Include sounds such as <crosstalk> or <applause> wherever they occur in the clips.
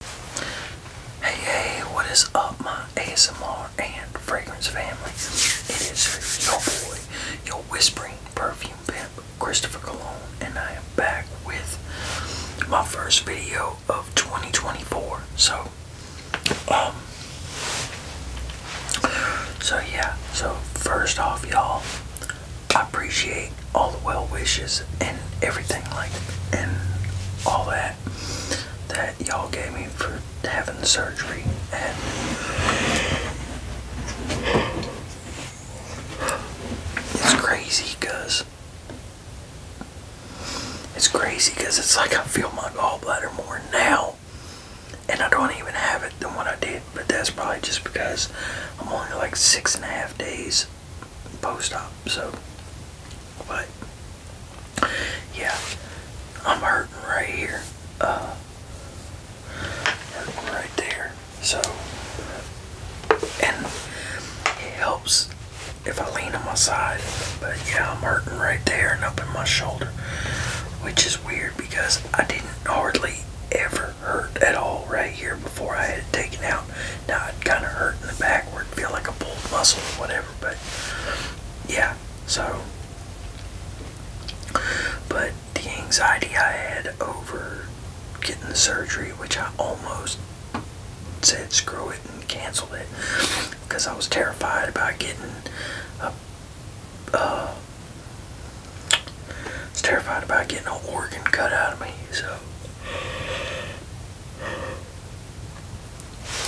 Hey, hey, what is up, my ASMR and fragrance family? It is your boy, your whispering perfume pimp, Christopher Cologne, and I am back with my first video of 2024. So, um, so yeah, so first off, y'all, I appreciate all the well wishes and everything like and all that that y'all gave me for having surgery it's crazy because it's crazy because it's like I feel my gallbladder more now and I don't even have it than what I did but that's probably just because I'm only like six and a half days post op. So, but yeah, I'm hurting right here. Uh, hurting right there. So, and it helps if I lean on my side. But yeah, I'm hurting right there and up in my shoulder, which is weird because I didn't hardly ever hurt at all right here before I had it taken out. Now it kind of hurt in the back where backward, feel like a pulled muscle or whatever, but yeah, so. But the anxiety I had over getting the surgery, which I almost said screw it and canceled it because I was terrified about getting a. Uh, I was terrified about getting an organ cut out of me, so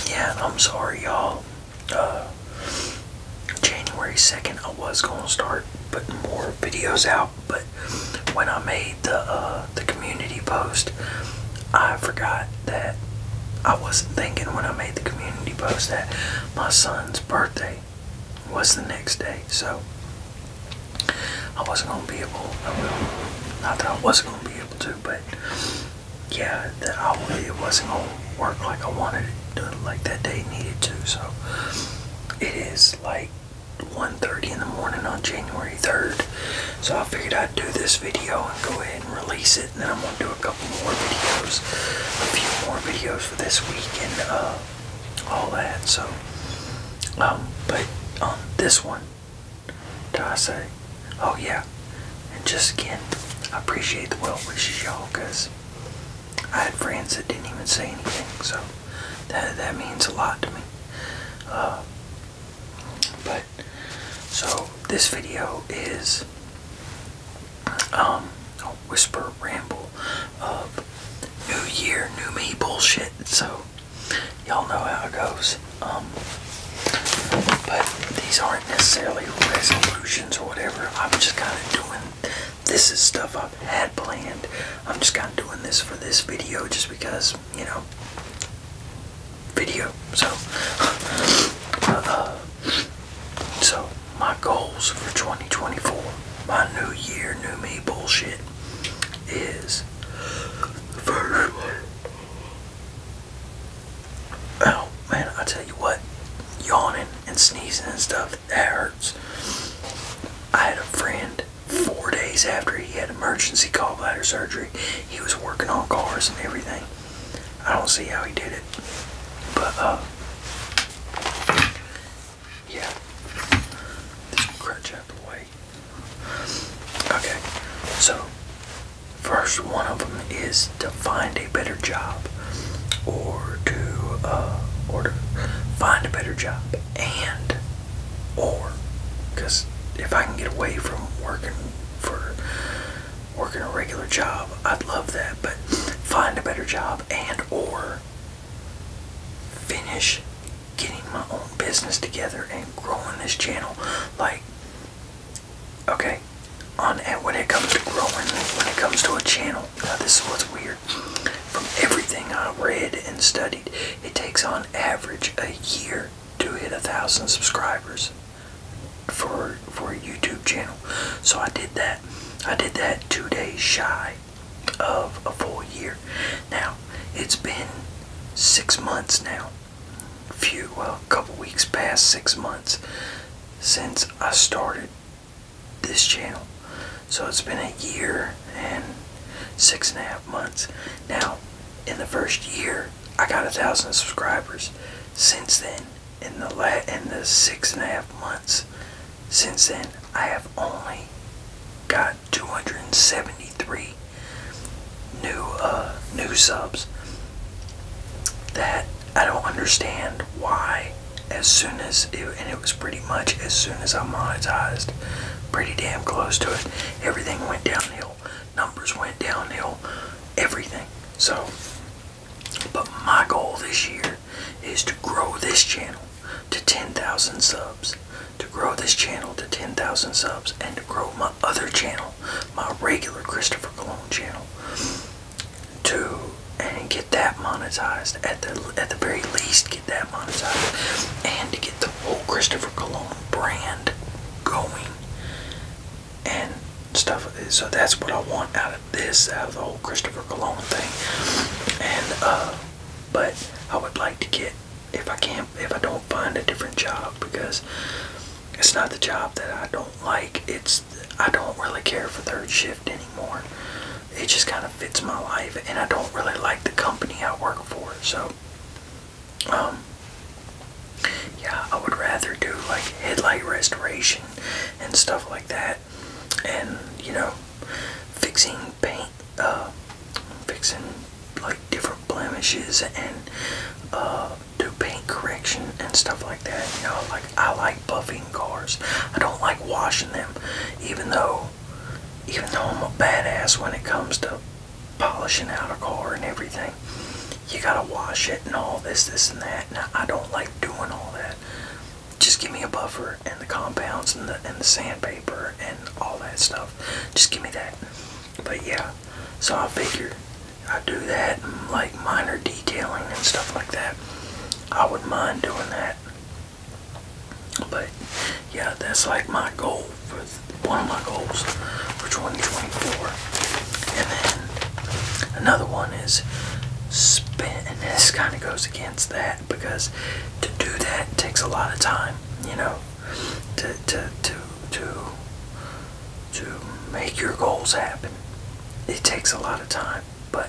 yeah, I'm sorry, y'all. Uh, January 2nd, I was gonna start putting more videos out, but when I made the uh, the community post, I forgot that I wasn't thinking when I made the community post that my son's birthday was the next day. So I wasn't gonna be able. I will. Not that I wasn't gonna be able to, but yeah, that I it wasn't gonna work like I wanted it to, like that day needed to. So it is like 1:30 in the morning on January 3rd. So I figured I'd do this video and go ahead and release it, and then I'm gonna do a couple more videos, a few more videos for this week, and uh, all that. So, um, but on um, this one did I say? Oh yeah. And just again, I appreciate the well wishes y'all because I had friends that didn't even say anything, so that that means a lot to me. Uh, but so this video is um a whisper ramble of new year, new me bullshit. So y'all know how it goes. Um, but these aren't necessarily resolutions or whatever. I'm just kind of doing this is stuff I've had planned. I'm just kind of doing this for this video just because, you know, video. So, <laughs> uh, so my goals for 2024, my new year, new me bullshit is the first one. Oh man, I tell you what, yawning and sneezing and stuff, that hurts. I had a friend four days after he had emergency gallbladder surgery. He was working on cars and everything. I don't see how he did it. But uh yeah. This crutch out the way. Okay, so first one of them is to find a better job, or to uh, or to find a better job, and or because if I can get away from working for working a regular job, I'd love that. But find a better job, and or finish getting my own business together and growing this channel. Like, okay, on and when it comes to growing, when it comes to a channel, now this is what's weird. From everything I read and studied, it takes on average a year to hit a thousand subscribers for for a YouTube channel. So I did that. I did that two days shy of a full year. Now it's been six months now few, well, a couple weeks past six months since I started this channel. So it's been a year and six and a half months. Now, in the first year, I got a thousand subscribers. Since then, in the la in the six and a half months, since then I have only got 270 Three new uh, new subs that I don't understand why as soon as it, and it was pretty much as soon as I monetized pretty damn close to it everything went downhill numbers went downhill everything so but my goal this year is to grow this channel to 10,000 subs to grow this channel to 10,000 subs and to grow my other channel, my regular Christopher Cologne channel, to and get that monetized at the at the very least get that monetized and to get the whole Christopher Cologne brand going and stuff. this. So that's what I want out of this, out of the whole Christopher Cologne thing. And uh, but I would like to get if I can't, if I don't find a different job because it's not the job that I don't like. It's I don't really care for third shift anymore. It just kind of fits my life, and I don't really like the company I work for. So, um, yeah, I would rather do like headlight restoration and stuff like that, and you know, fixing paint, uh, fixing like different blemishes and uh, do paint correction and stuff like that. You know, like I like buffing cars. I don't like washing them, even though, even though I'm a badass when it comes to polishing out a car and everything. You gotta wash it and all this, this and that. And I don't like doing all that. Just give me a buffer and the compounds and the and the sandpaper and all that stuff. Just give me that. But yeah, so I figure I do that and like minor detailing and stuff like that. I would not mind doing that. But yeah, that's like my goal for one of my goals for 2024. And then another one is spend, this kind of goes against that because to do that takes a lot of time, you know to to to to to make your goals happen. It takes a lot of time, but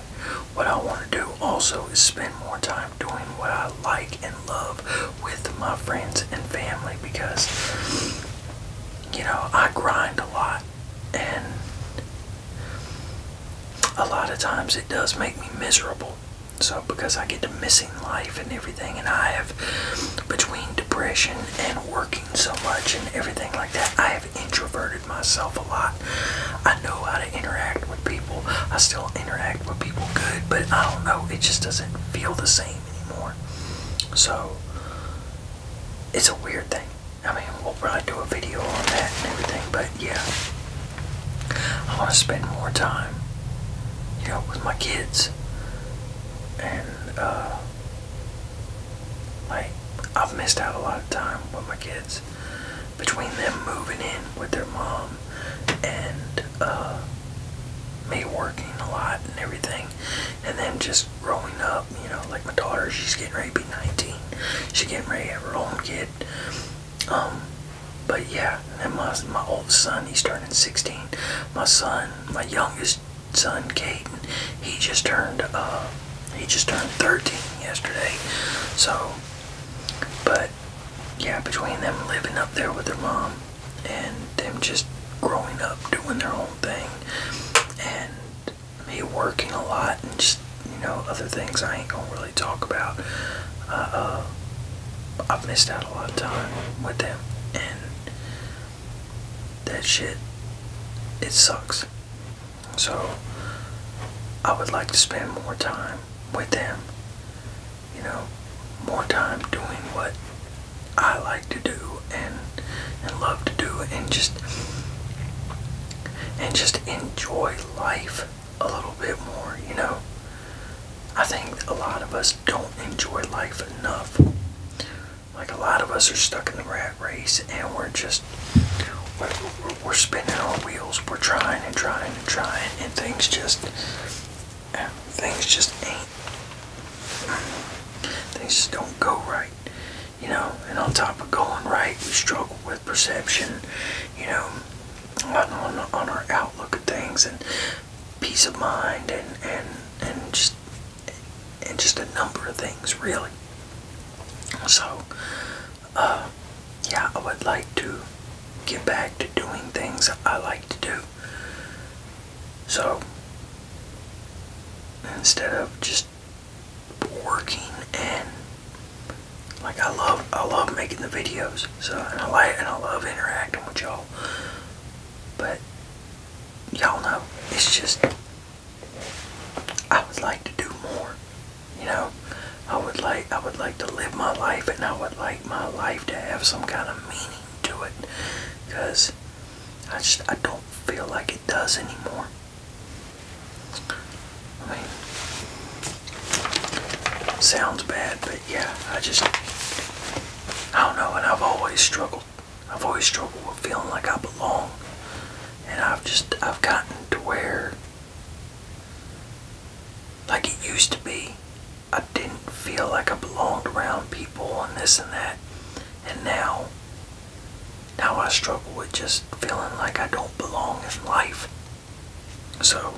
what I want to do also is spend more time doing what I like and love with my friends and family because you know, I grind a lot and a lot of times it does make me miserable. So because I get to miss life and everything, and I have, between depression and working so much and everything like that, I have introverted myself a lot. I know how to interact with people. I still interact with people good, but I don't know. It just doesn't feel the same anymore. So, it's a weird thing. I mean, we'll probably do a video on that and everything, but yeah. I want to spend more time, you know, with my kids. And uh, like I've missed out a lot of time with my kids between them moving in with their mom and uh, me working a lot and everything and then just growing up you know like my daughter she's getting ready to be 19 she's getting ready to have her own kid um, but yeah my, old son he's turning 16 my son my youngest son Caden. He just turned uh, he just turned 13 yesterday. So, but yeah, between them living up there with their mom and them just growing up doing their own thing and me working a lot and just you know other things I ain't gonna really talk about. uh, I've missed out a lot of time with them and that shit it sucks. So I would like to spend more time with them. You know, more time doing what I like to do and and love to do and just and just enjoy life a little bit more, you know. I think a lot of us don't enjoy life enough. Like a lot of us are stuck in the rat race and we're just, we're, we're spinning our wheels. We're trying and trying and trying and things just, things just ain't, things just don't go right. You know, and on top of going right, we struggle with perception, you know, on, on, on our outlook of things and peace of mind and, and, and just and just a number of things really. So uh, yeah, I would like to get back to doing things I like to do. So instead of just working and like I love I love making the videos so and I like and I love interacting with y'all but y'all know, it's just, I would like to do more. You know, I would like, I would like to live my life and I would like my life to have some kind of meaning to it. Because I just, I don't feel like it does anymore. I mean, sounds bad, but yeah, I just, I don't know, and I've always struggled I've always struggled with feeling like I belong. And I've just, I've gotten to where, like it used to be, I didn't feel like I belonged around people and this and that. And now, now I struggle with just feeling like I don't belong in life. So,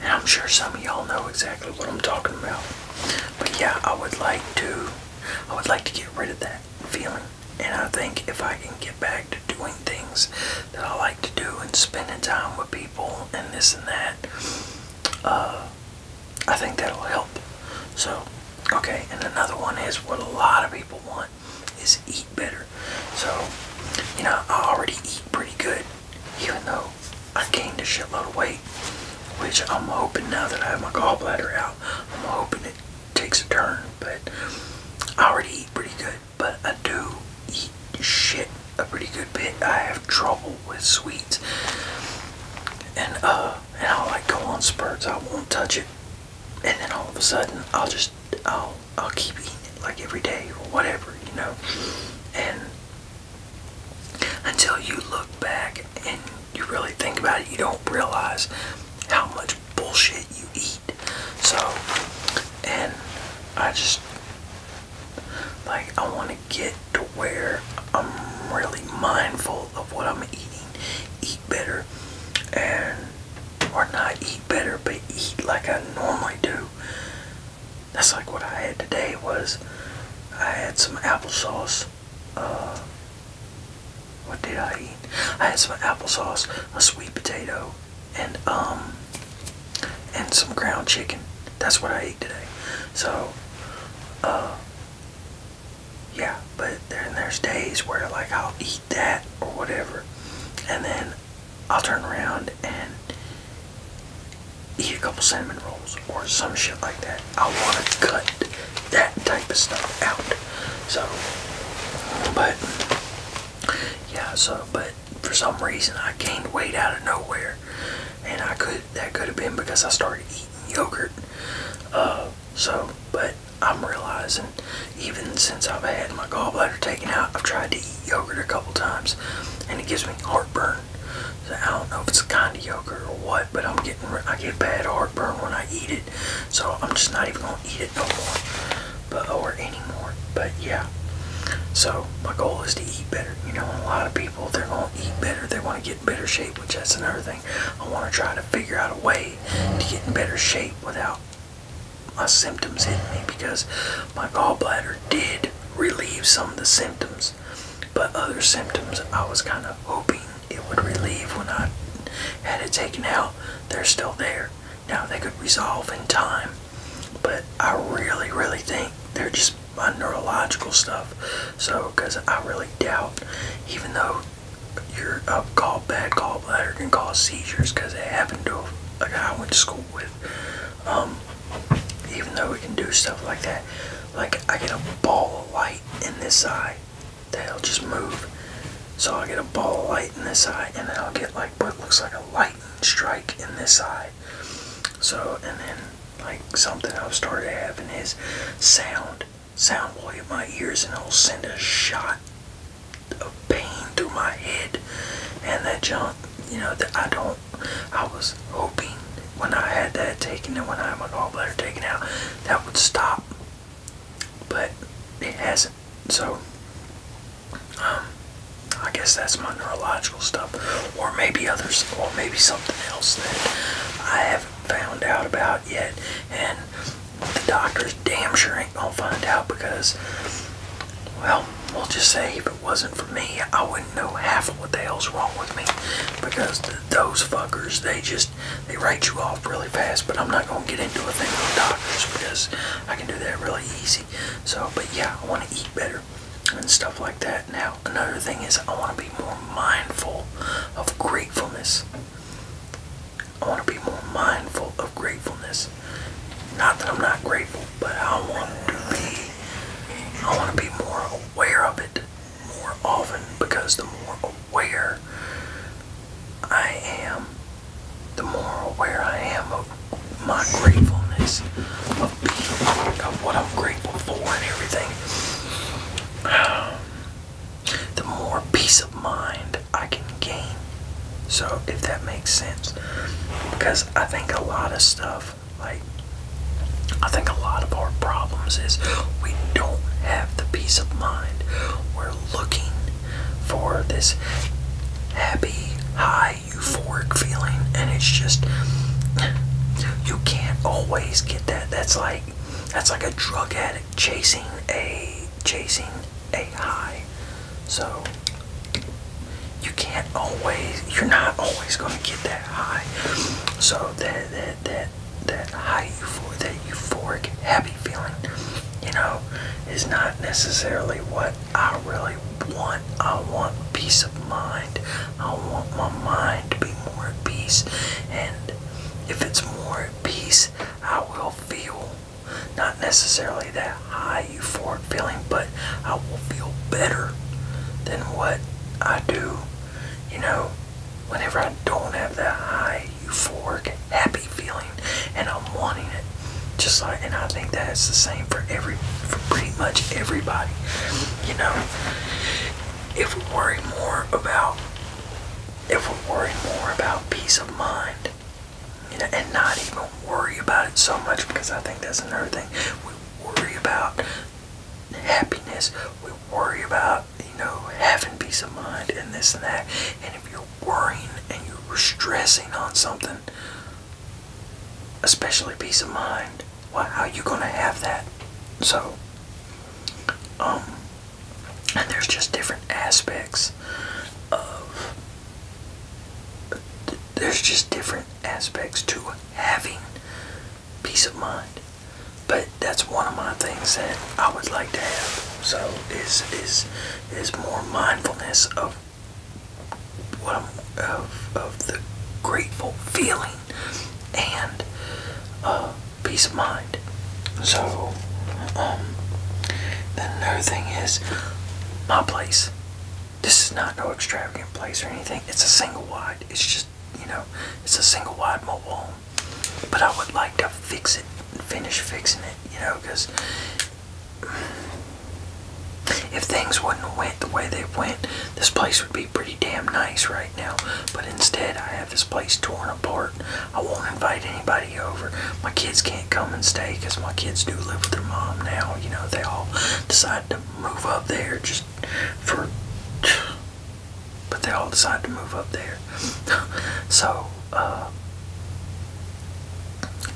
and I'm sure some of y'all know exactly what I'm talking about. But yeah, I would like to I would like to get rid of that feeling. And I think if I can get back to doing things that I like to do and spending time with people and this and that, uh, I think that'll help. So, okay, and another one is what a lot of people want is eat better. So, you know, I already eat pretty good, even though I gained a shitload of weight, which I'm hoping now that I have my gallbladder out, I'm hoping it takes a turn. But I already eat pretty good, but I do eat shit a pretty good bit. I have trouble with sweets, and uh, and i like go on spurts. I won't touch it, and then all of a sudden I'll just I'll I'll keep eating it like every day or whatever, you know, and until you look back and you really think about it, you don't realize how much bullshit you eat. So, and I just like I want to get to where I'm really mindful of what I'm eating, eat better, and or not eat better, but eat like I normally do, that's like what I had today was I had some applesauce. Uh, what did I eat? I had some applesauce, a sweet potato, and um, and some ground chicken. That's what I ate today. So, uh, yeah. But then there's days where like I'll eat that or whatever, and then I'll turn around and eat a couple cinnamon rolls or some shit like that. I want to cut that type of stuff out. So, but, yeah, so, but for some reason I gained weight out of nowhere. And I could, that could have been because I started eating yogurt. Uh, so, but I'm realizing even since I've had my gallbladder taken out, I've tried to eat yogurt a couple times and it gives me heartburn. I don't know if it's a kind of yogurt or what, but I'm getting I get bad heartburn when I eat it, so I'm just not even gonna eat it no more, but or anymore. But yeah, so my goal is to eat better. You know, a lot of people they're gonna eat better, they want to get in better shape, which that's another thing. I want to try to figure out a way to get in better shape without my symptoms hitting me because my gallbladder did relieve some of the symptoms but other symptoms I was kind of hoping it would relieve when I had it taken out, they're still there. Now they could resolve in time. But I really, really think they're just my neurological stuff. So, because I really doubt, even though your uh, call, bad gallbladder can cause seizures because it happened to a guy I went to school with. Um, um, even though we can do stuff like that, like I get a ball of light in this eye that'll just move. So I'll get a ball of light in this eye, and then I'll get like what looks like a lightning strike in this eye. So, and then like something I've started having is sound. Sound will hit my ears, and it'll send a shot of pain through my head, and that junk, you know, that I don't I was hoping when I had that taken and when I had my gallbladder taken out, that would stop. But it hasn't. So, um, I guess that's my neurological stuff. Or maybe others, or maybe something else that I haven't found out about yet. And the doctors damn sure ain't gonna find out because, well, we'll just say if it wasn't for me, I wouldn't know half of what the hell's wrong with me because the those fuckers, they just they write you off really fast. But I'm not gonna get into a thing with doctors because I can do that really easy. So, but yeah, I want to eat better and stuff like that. Now, another thing is I want to be more mindful of gratefulness. I want to be more mindful of gratefulness. Not that I'm not grateful, but I want to be. I want to be more aware of it more often because the more aware I am, the more aware I am of my gratefulness, of, being, of what I'm grateful for and everything, <sighs> the more peace of mind I can gain. So, if that makes sense, because I think a lot of stuff like, I think a lot of our problems is we don't have the peace of mind. We're looking for this happy, high, euphoric feeling, and it's just you can't always get that. That's like that's like a drug addict chasing a chasing a high. So you can't always you're not always going to get that high. So that that that that high euphor that euphoric happy feeling, you know, is not necessarily what I really want. I want peace of mind. I want my mind to be more at peace. And if it's more at peace, I will feel not necessarily that high euphoric feeling, but I will feel better than what I do, you know, Whenever I don't have that high euphoric happy feeling and I'm wanting it. Just like and I think that's the same for every for pretty much everybody. You know if we worry more about if we're worried more about peace of mind, you know, and not even worry about it so much because I think that's another thing. We worry about happiness. We worry about, you know, having peace of mind and this and that. And if you're worrying and you're stressing on something, especially peace of mind, well, how are you going to have that? So, um, and there's just different aspects of, there's just different aspects to having peace of mind. But that's one of my things that I would like to have. So is is is more mindfulness of what I'm, of of the grateful feeling and uh, peace of mind. So um, another thing is my place. This is not no extravagant place or anything. It's a single wide. It's just you know, it's a single wide mobile home. But I would like to fix it, finish fixing it, you know, because if things wouldn't have went the way they went, this place would be pretty damn nice right now. But instead, I have this place torn apart. I won't invite anybody over. My kids can't come and stay because my kids do live with their mom now. You know, they all decided to move up there just for but they all decide to move up there. <laughs> so uh,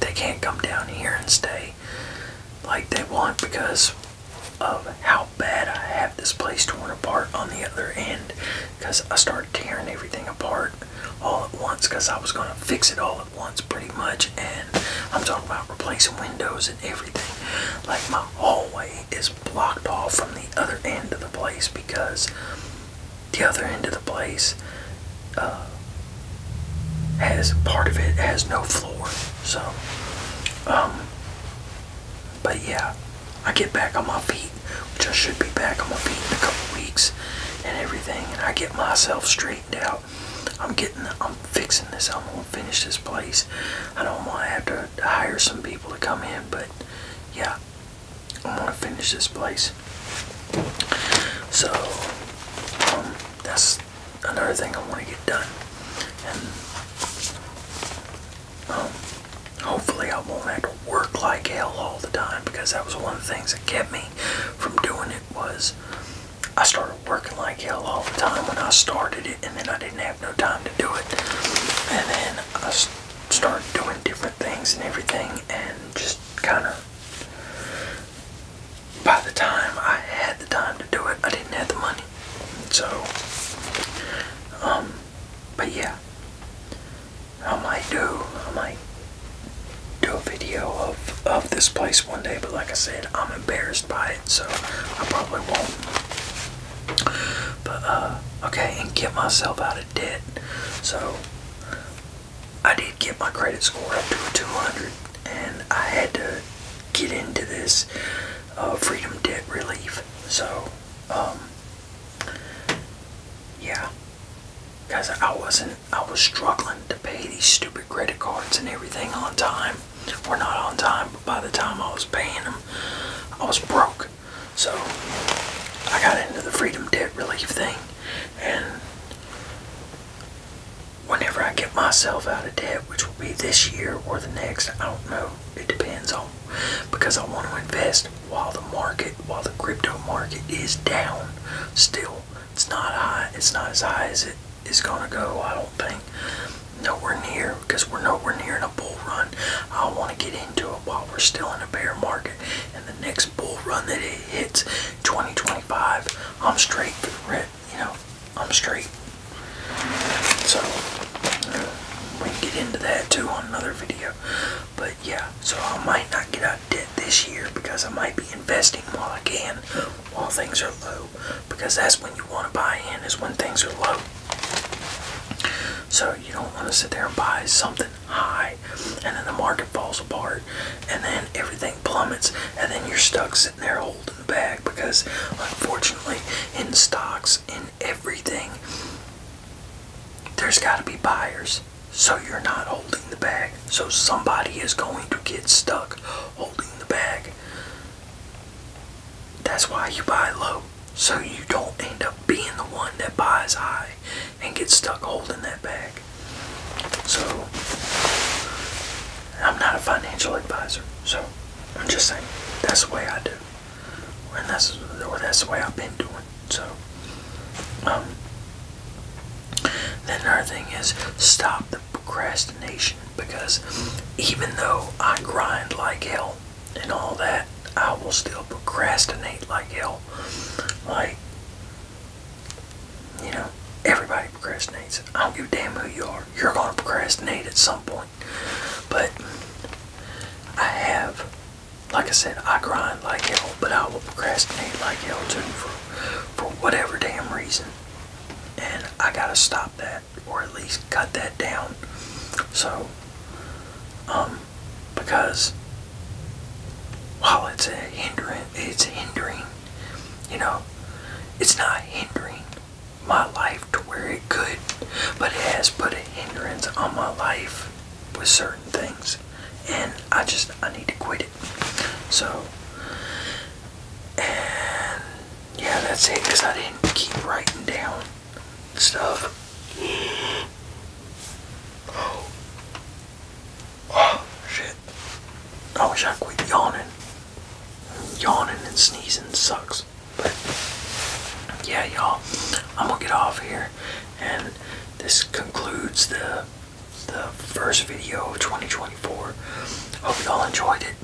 they can't come down here and stay like they want because of how bad I have this place torn apart on the other end because I started tearing everything apart all at once because I was going to fix it all at once pretty much and I'm talking about replacing windows and everything like my hallway is blocked off from the other end of the place because the other end of the place uh, has part of it has no floor. So, um, but yeah, I get back on my feet, which I should be back on my feet in a couple weeks and everything, and I get myself straightened out. I'm getting, I'm fixing this. I'm gonna finish this place. I don't want to have to hire some people to come in, but yeah, I want to finish this place. So um, that's another thing I want to get done, and um, hopefully I won't have to work like hell all the time because that was one of the things that kept me from doing it was I started working like hell all the time when I started it, and then I didn't have no time to do it. And then I start doing different things and everything, and just kind of. By the time I had the time to do it, I didn't have the money. So, um, but yeah, I might do, I might do a video of, of this place one day, but like I said, I'm embarrassed by it, so I probably won't. But, uh, okay, and get myself out of debt. So, I did get my credit score up to a 200, and I had to get into this uh, freedom debt relief. So, um, yeah. Because I wasn't, I was struggling to pay these stupid credit cards and everything on time. Or not on time, but by the time I was paying them, I was broke. So I got into the freedom debt relief thing and whenever I get myself out of debt, which will be this year or the next, I don't know. It depends on because I want to invest while the market, while the crypto market is down still. It's not high. It's not as high as it is going to go, I don't think nowhere near because we're nowhere near in a bull run. I want to get into it while we're still in a bear market. And the next bull run that it hits 2025, I'm straight for the red. You know, I'm straight. So uh, we can get into that too on another video. But yeah, so I might not get out debt this year because I might be investing while I can, while things are low. Because that's when you want to buy in is when things are low. So you don't want to sit there and buy something high and then the market falls apart and then everything plummets and then you're stuck sitting there holding the bag because unfortunately in stocks in everything there's got to be buyers so you're not holding the bag so somebody is going to get stuck holding the bag that's why you buy low so you don't end up being the one that buys high and gets stuck holding that bag. So, I'm not a financial advisor, so I'm just saying that's the way I do, and that's or that's the way I've been doing. So, um, then our thing is stop the procrastination because even though I grind like hell and all that, I will still procrastinate like hell. Like, you know, everybody procrastinates. I don't give a damn who you are. You're going to procrastinate at some point. But I have, like I said, I grind like hell, but I will procrastinate like hell too for, for whatever damn reason. And I got to stop that or at least cut that down. So um, because while it's a hindering, it's hindering, you know, it's not hindering my life to where it could, but it has put a hindrance on my life with certain things. And I just, I need to quit it. So, and yeah, that's it because I didn't keep writing down stuff. Oh. shit. I wish I quit yawning. Yawning and sneezing sucks. But yeah, y'all, I'm gonna get off here, and this concludes the the first video of 2024. Hope y'all enjoyed it.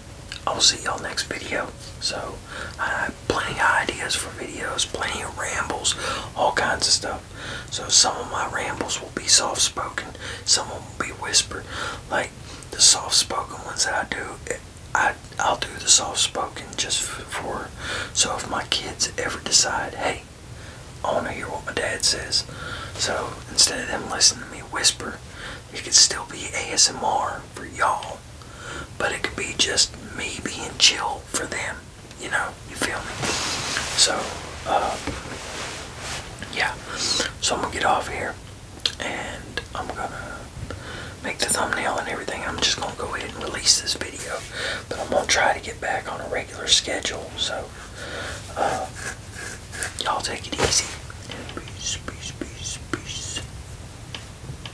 I'll see y'all next video. So I have plenty of ideas for videos, plenty of rambles, all kinds of stuff. So some of my rambles will be soft-spoken, some will be whispered. Like the soft-spoken ones that I do, I, I'll do the soft-spoken just for, so if my kids ever decide, hey, I want to hear what my dad says. So instead of them listening to me whisper, it could still be ASMR for y'all all. But it could be just me being chill for them. You know, you feel me? So, uh, yeah. So I'm gonna get off here and I'm gonna make the thumbnail and everything. I'm just gonna go ahead and release this video. But I'm gonna try to get back on a regular schedule. So, uh, y'all take it easy. And peace, peace, peace, peace.